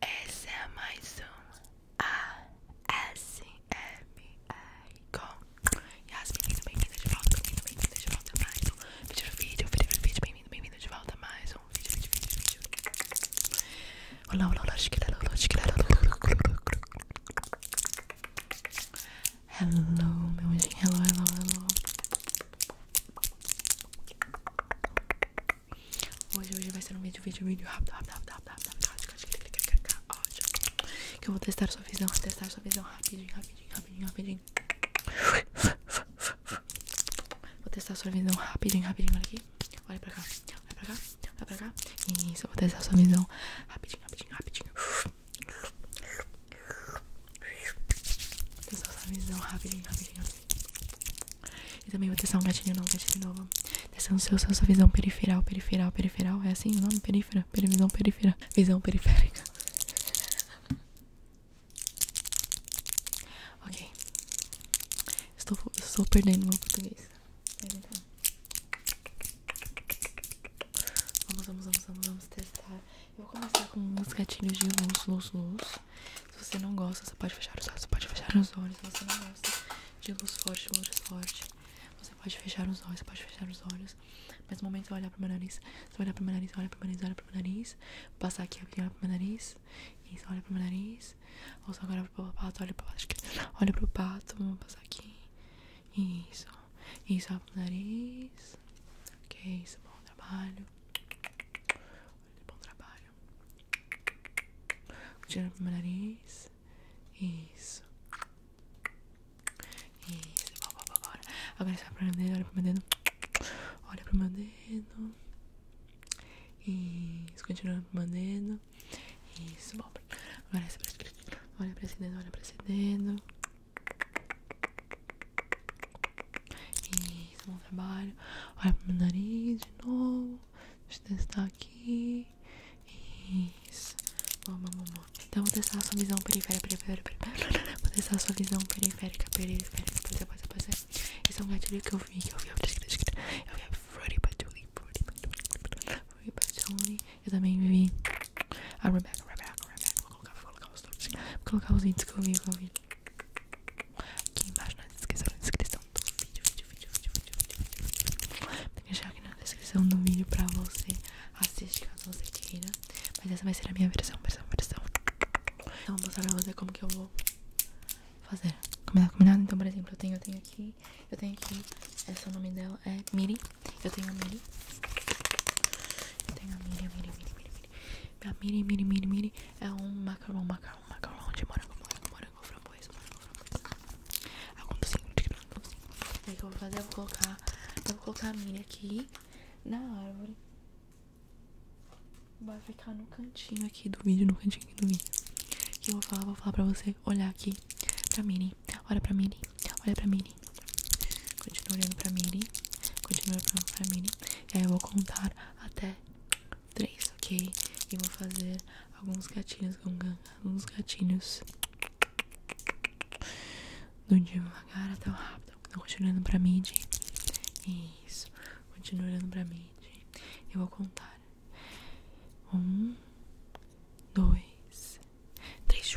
Essa é mais um ASMR com Yasmin, bem-vindo, bem-vindo de volta, bem-vindo, bem-vindo de volta mais um vídeo do vídeo, bem-vindo, bem-vindo de volta mais um vídeo, vídeo, vídeo, vídeo Olá, olá, olá, chiquilala, olá, chiquilala Hello, meu anjinho, hello, hello, hello Hoje, hoje vai ser um vídeo, vídeo, vídeo rápido, rápido, rápido, rápido, rápido, Que eu vou testar sua visão, testar sua visão rapidinho, rapidinho, rapidinho, rapidinho. Vou testar sua visão rapidinho, rapidinho, olha aqui. Olha pra cá, olha pra cá, olha pra cá. Isso, eu vou testar sua visão rapidinho, rapidinho, rapidinho. Vou testar essa visão rapidinho, rapidinho, E também vou testar um gatilho novo, gatilho novo. Testando seu, sua, visão periferal, periferal, periferal. É assim o nome? Perífera, visão perífera, visão periférica. Ok. Estou, estou perdendo meu português. Então. vamos, vamos, vamos, vamos testar eu vou começar com uns gatilhos de luz, luz, luz. Se você não gosta, você pode fechar os olhos, você pode fechar os olhos. Se você não gosta de luz forte, luz forte, você pode fechar os olhos, você pode fechar os olhos. Mas no momento você vai olhar pro meu nariz, você vai olhar pro meu nariz, olha pro meu nariz, olha pro meu nariz. Vou passar aqui, olha pro meu nariz. isso, olha pro meu nariz. Ou só agora pro pato, olha pro pato. Olha pro pato, vamos passar aqui. Isso. Isso, olha pro nariz vocês. Ok? Isso bom trabalho. Olha, bom trabalho. Tirando pro meu nariz. Isso. Isso. Bora, Agora você vai pro meu dedo. Olha pro meu dedo. Olha pro meu dedo. Isso. Continuando pro meu dedo. Isso. Bom. Agora você vai. Olha pra esse dedo, olha pra esse dedo. Isso, bom trabalho. Olha pro meu nariz de novo. Deixa eu testar aqui. Isso. Boa, boa, boa. Então, vou testar a sua visão periférica, periférica, periférica. Vou testar a sua visão periférica, periférica. Pode ser, pode ser, é um gatilho que eu vi, que eu vi. Eu vi a Fruity Patchouli, Fruity Patchouli, Fruity Patchouli. Eu também vi a ah, Rebecca, Rebecca, Rebecca. Vou colocar, colocar os todos. colocar os itens que eu vi, que eu vi. Aqui embaixo na descrição, na descrição do vídeo, vídeo, vídeo, vídeo, vídeo, vídeo, vídeo. deixar aqui na descrição do vídeo pra você assistir caso você queira. Mas essa vai ser a minha versão, versão, versão. Então vou mostrar pra você como que eu vou fazer. Combinado, combinado? Então, por exemplo, eu tenho, eu tenho aqui, eu tenho aqui, esse é o nome dela, é Miri. Eu tenho a Miri. Eu tenho a Miri, Miri, Miri, Miri. A mini, mini, mini, mini é um macarrão, macarrão, macarrão de morango, morango, morango, framboesa, morango, framboesa. Algum assim, docinho, assim. Aí que eu vou fazer, eu vou colocar, eu vou colocar a mini aqui na árvore. Vai ficar no cantinho aqui do vídeo, no cantinho do vídeo. Que eu vou falar, vou falar pra você olhar aqui pra mini. Olha pra mini, olha pra mini, Miri. Continua olhando pra Miri. Continua olhando pra Miri. E aí eu vou contar até três, ok? E vou fazer alguns gatilhos, alguns gatilhos. Do devagar até o rápido. Então, continua olhando pra mim, Isso. Continua olhando pra mim, Eu vou contar. Um, dois, três.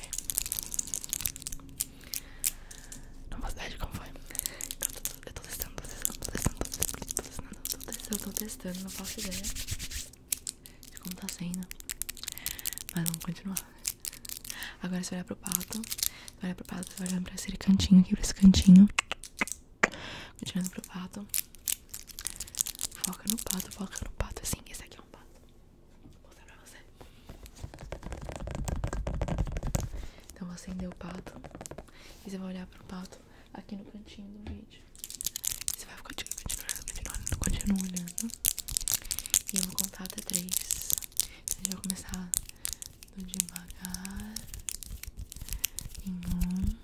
É. Não posso dar de como foi. Eu tô testando, tô testando, tô testando, tô testando, tô testando, testando, testando, não faço ideia de como tá sendo. Mas vamos continuar. Agora se olhar pro pato. Você olhar pro pato, você vai olhando pra esse cantinho aqui, pra esse cantinho. Continuando pro pato. Foca no pato, foca no pato. assim esse aqui é um pato. Vou mostrar pra você. Então vou acender é o pato. E você vai olhar pro pato aqui no cantinho do vídeo. Você vai ficar continuando, continuando, continuando olhando. E eu vou contar até três. Então a gente começar do devagar. Em um.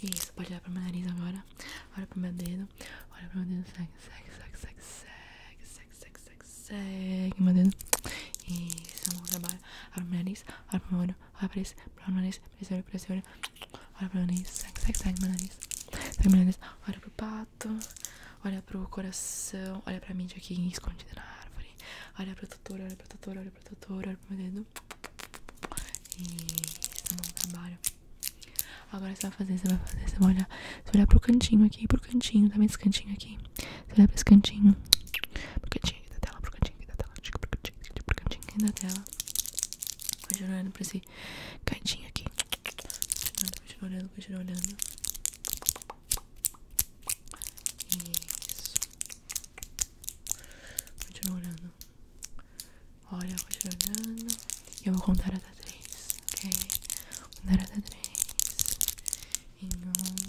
Isso, pode olhar pro meu nariz agora. Olha pro meu dedo. Olha pro meu dedo. Segue, segue, segue, segue, segue, segue, segue, segue, segue, dedo. Isso, é um trabalho. Olha meu nariz. Olha olha pra isso, olha meu nariz, pressione, pressione, olha pro meu nariz, sai, segue, sai, meu nariz, segue meu nariz, olha pro pato, olha pro coração, olha pra mídia aqui escondida na árvore, olha pro tutor, olha pro tutor, olha pro tutor, olha pro meu dedo, isso, tá bom trabalho. Agora você vai fazer, você vai fazer, você vai olhar, você vai olhar pro cantinho aqui, pro cantinho, também tá vendo esse cantinho aqui? Você vai pra esse cantinho, pro cantinho cantinho aqui da tela, pro cantinho aqui da tela, pro cantinho aqui, pro cantinho aqui da tela. Continua olhando pra esse cantinho aqui. Continua olhando, continua olhando. Isso. Continua olhando. Olha, continua olhando. E eu vou contar até três, ok? Vou contar até três. Em um,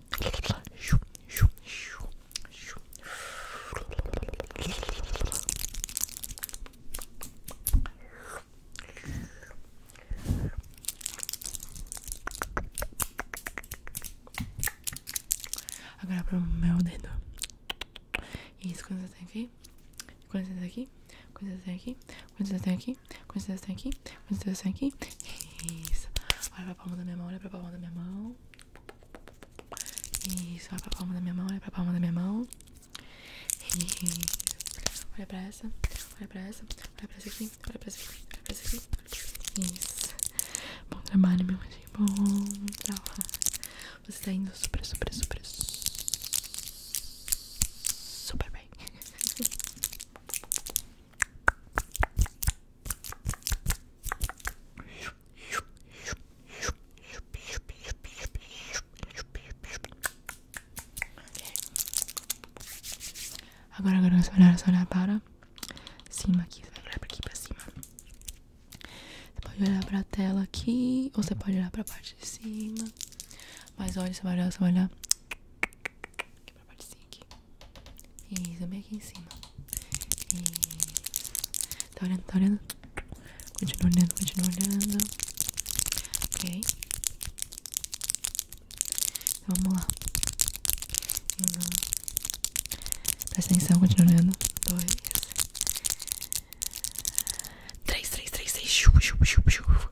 Agora pro meu dedo. Isso, quando você tem aqui, quando você tem aqui, quando você tem aqui, quando você tem aqui, com esse dedo aqui, com esse dedo aqui. Isso. Olha pra palma da minha mão, olha pra palma da minha mão. Isso, olha pra palma da minha mão, olha pra palma da minha mão. Isso. Olha pra essa, olha pra essa, olha pra essa aqui, olha pra essa aqui, Isso. Bom trabalho, meu anjo. Bom trabalho. Você tá indo super, super, super, super bem. Agora, agora você olhar, você olhar para cima aqui, você para cima. pode olhar para a tela aqui, ou você pode olhar para a parte de cima. Mas olha, você olhar aqui pra partezinha aqui. E também aqui em cima. E... Tá olhando, tá olhando? Continua olhando, continua olhando. Ok. Então, vamos lá. Um. Presta atenção, continua olhando. Dois. Três, três, três, três. Chupa, chupa, chupa, chupa.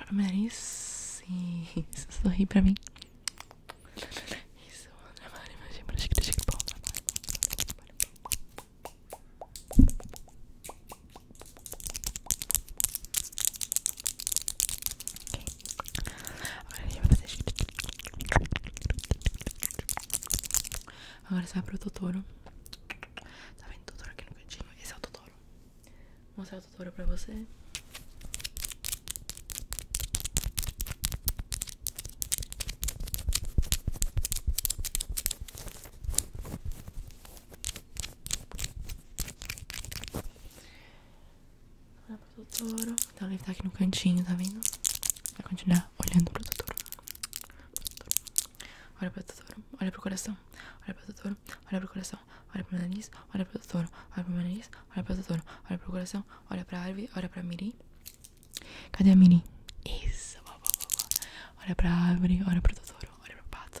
Olha meu nariz. Isso, sorri pra mim. Isso, trabalho, imagina, pra gente que bom trabalho. Okay. Agora a gente vai fazer. Agora você vai pro Totoro. Tá vendo o Totoro aqui no cantinho? Esse é o Totoro. Vou mostrar o Totoro pra você. Olha pro Totoro. Então ele tá aqui no cantinho, tá vendo? Vai continuar olhando pro Totoro. Olha pro Totoro. Olha pro coração. Olha pro Totoro. Olha pro coração. Olha pro nariz. Olha pro Totoro. Olha pro nariz. Olha pro Totoro. Olha pro coração. Olha pra árvore. Olha pra Mirim. Cadê a Mirim? Isso. Olha pra árvore. Olha pro Totoro. Olha pro pato.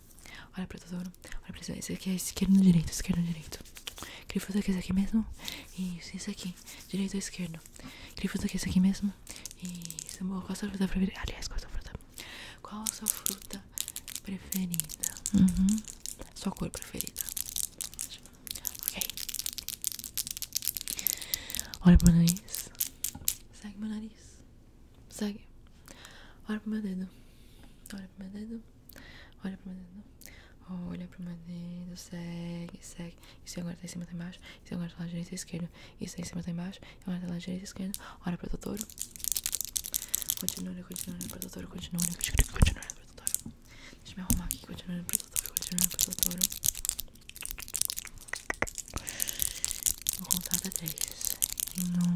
Olha pro tesouro. Olha pra isso. Esse aqui é esquerdo direito, esquerdo direito. Queria fazer aqui, esse aqui mesmo. Isso, isso aqui. Direito ou esquerdo. Queria fazer aqui, esse aqui mesmo. Isso, boa. Qual a sua fruta preferida? Aliás, qual a sua fruta? Qual a sua fruta preferida? Uhum. Sua cor preferida. Ok. Olha pro nariz. Segue meu nariz. Segue. Olha pro meu dedo. Olha pro meu dedo. Olha pro meu dedo. Olha pro meu dedo. Segue, segue. Isso agora tá em cima, tá embaixo. Isso agora tá lá direita e esquerda. Isso aí em cima, tá embaixo. E agora tá lá direita e esquerda. Olha pro doutor. Continua, continua, pro doutor. Continua, continua, continua, pro doutor. Deixa eu me arrumar aqui. Continua, pro doutor. Continua, pro doutor. Vou contar até três. um,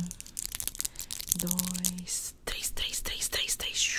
dois, três, três, três, três, três.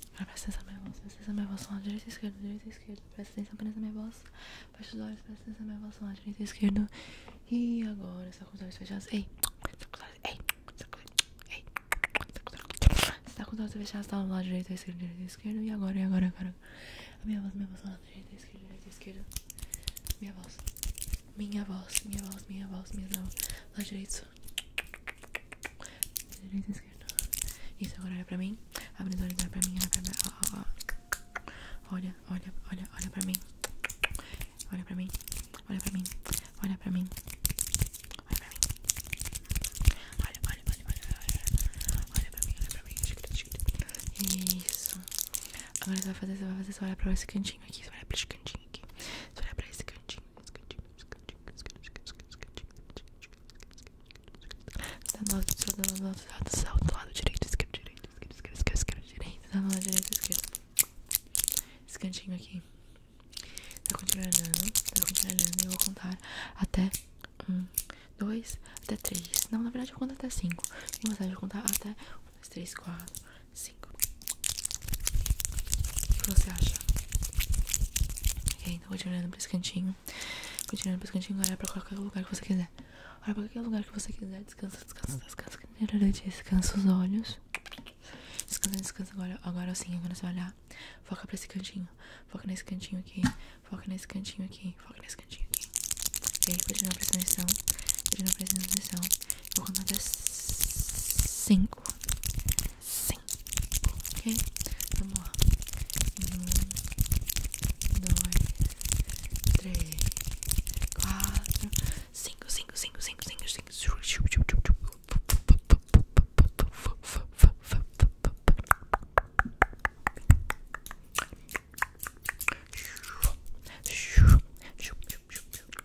Presta atenção na minha voz, presta atenção na minha voz, som direita e esquerda, direita e esquerda. Presta atenção apenas minha voz, fecha os olhos, presta atenção na minha voz, som direita e esquerda. E agora, está com os olhos fechados. Ei, está com ei, está com ei, está com os olhos fechados, tá lado direito, esquerda, direita e esquerda. E agora, e agora, agora. A minha voz, minha voz, lado direito, esquerda, direita e esquerda. Minha voz, minha voz, minha voz, minha voz, minha voz, lado direito, isso. Direita, esquerda. Isso, agora olha pra mim. Abre os olhos, olha pra mim, olha pra mim. Ó, ó, ó. Olha, olha, olha, olha pra mim. Olha pra mim. Olha pra mim. Olha pra mim. Olha pra mim. Olha, olha, olha, olha, olha. Olha pra mim, olha pra mim. Isso. Agora você vai fazer, você vai fazer, você olha pra esse cantinho aqui. Você olha pra esse cantinho aqui. Você olha pra esse cantinho. Da nossa, da nossa, da nossa, do lado direito, esquerdo, direito, esquerdo, esquerdo, esquerdo, direito, da nossa, direita, esquerda. esquentinho aqui. Tá continuando, tá continuando. Eu vou contar até um, dois, até três. Não, na verdade eu conto até cinco. Tem vontade de contar até um, dois, três, quatro, 5. O que você acha? Ok, então continuando pra esse cantinho. Continuando pra esse cantinho, olha pra qualquer lugar que você quiser. Olha pra qualquer lugar que você quiser. Descansa, descansa, descansa. Descansa os olhos. Descansa, descansa. Agora, agora sim, agora você olhar. Foca pra esse cantinho. Foca nesse cantinho aqui. Foca nesse cantinho aqui. Foca nesse cantinho aqui. Ok, continua prestando atenção. Continua prestando atenção. Eu vou até cinco. cinco Ok? Vamos lá. Um, dois, três, quatro, cinco, cinco, cinco, cinco, cinco, cinco.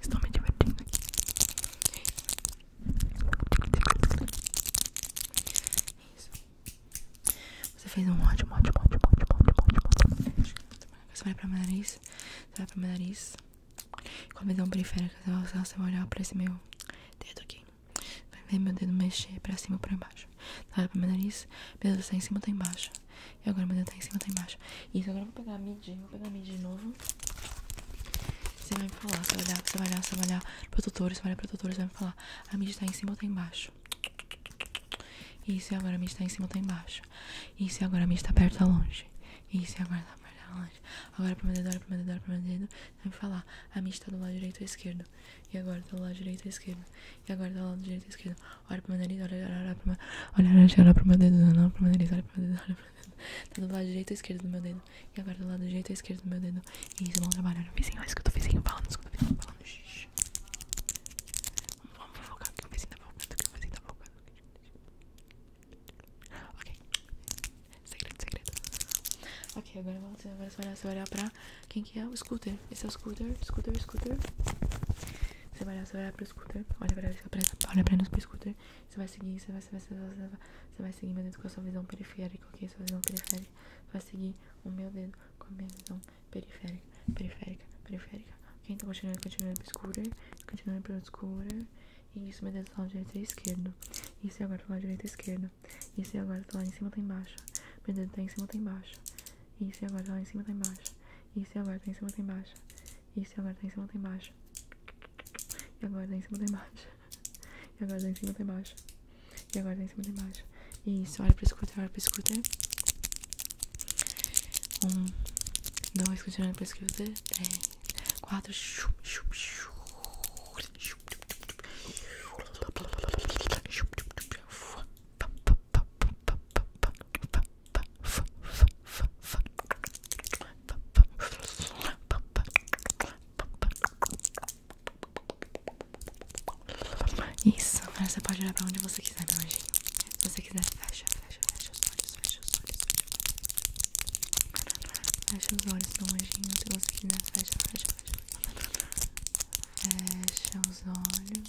Estou me divertindo aqui. Isso. Você fez um ótimo, ótimo, ótimo, ótimo, ótimo, ótimo. Você vai pra meu nariz. Você vai pra meu nariz. com a der um assim, você vai olhar pra esse meu dedo aqui. Vai ver meu dedo mexer pra cima ou pra baixo. Você vai pra meu nariz. Meu dedo tá em cima ou tá embaixo? E agora meu dedo tá em cima ou tá embaixo? Isso, agora eu vou pegar a midi, vou pegar a midi de novo. Você vai me falar, você vai olhar, você vai olhar, você vai olhar pro tutor, você vai olhar pro tutor, você vai me falar. A midi tá em cima ou tá embaixo? Isso, agora a midi tá em cima ou tá embaixo? Isso, agora a midi tá perto ou tá longe? Isso, agora tá perto ou tá longe? Agora pro meu dedo, olha pro meu dedo, olha pro meu dedo. vai me falar. A midi tá do lado direito ou esquerdo? E agora tá do lado direito ou esquerdo? E agora tá do lado direito ou esquerdo? Olha pro meu nariz, olha, olha, olha pro meu... Olha, olha, olha pro meu dedo, olha pro meu dedo, olha pro meu dedo, olha pro meu Tá do lado direito ou esquerdo do meu dedo. E agora do lado direito ou esquerdo do meu dedo. E isso, vamos trabalhar no vizinho. Olha, eu o vizinho falando, isso que eu o vizinho falando. Shhh. Vamos, vamos focar aqui no vizinho da boca, que o vizinho da boca. Ok. Segredo, segredo. Ok, agora você, agora você vai olhar, pra quem que é o scooter. Esse é o scooter, scooter, scooter. Você vai olhar, você pro scooter. Olha pra, olha pra, olha pra nós pro scooter. Você vai seguir, você vai, você vai, você vai, você vai, seguir meu dedo com a sua visão periférica, ok? Sua visão periférica. vai seguir o meu dedo com a minha visão periférica, periférica, periférica. Ok? Então continuando, continuando obscura, continuando pela obscura. E isso, meu dedo do lado direito é e é esquerdo. Isso e agora do lado direito e esquerdo. Isso e agora do lá em cima tá embaixo. Meu dedo tá em cima tá embaixo. Isso e agora do lá em cima tá embaixo. Isso e agora tá em cima tá embaixo. Isso, agora tá em cima, tá embaixo. E agora tá em cima, tá embaixo. E agora tá em cima, tá embaixo. E agora tá em cima, tá embaixo. Isso, olha pro scooter, olha pro scooter. Um, dois, continuando pro scooter. Três, quatro. Isso, agora você pode olhar pra onde você quiser, meu anjinho. Se você quiser, fecha, fecha, fecha os olhos, fecha os olhos, Fecha os olhos, meu anjinho. Se você quiser, fecha, fecha, fecha. Fecha os olhos.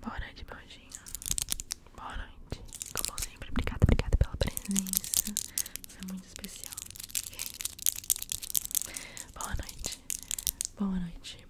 Boa noite, Baldinho. Boa noite. Como sempre, obrigada, obrigada pela presença. Você é muito especial. Okay. Boa noite. Boa noite. Boa noite.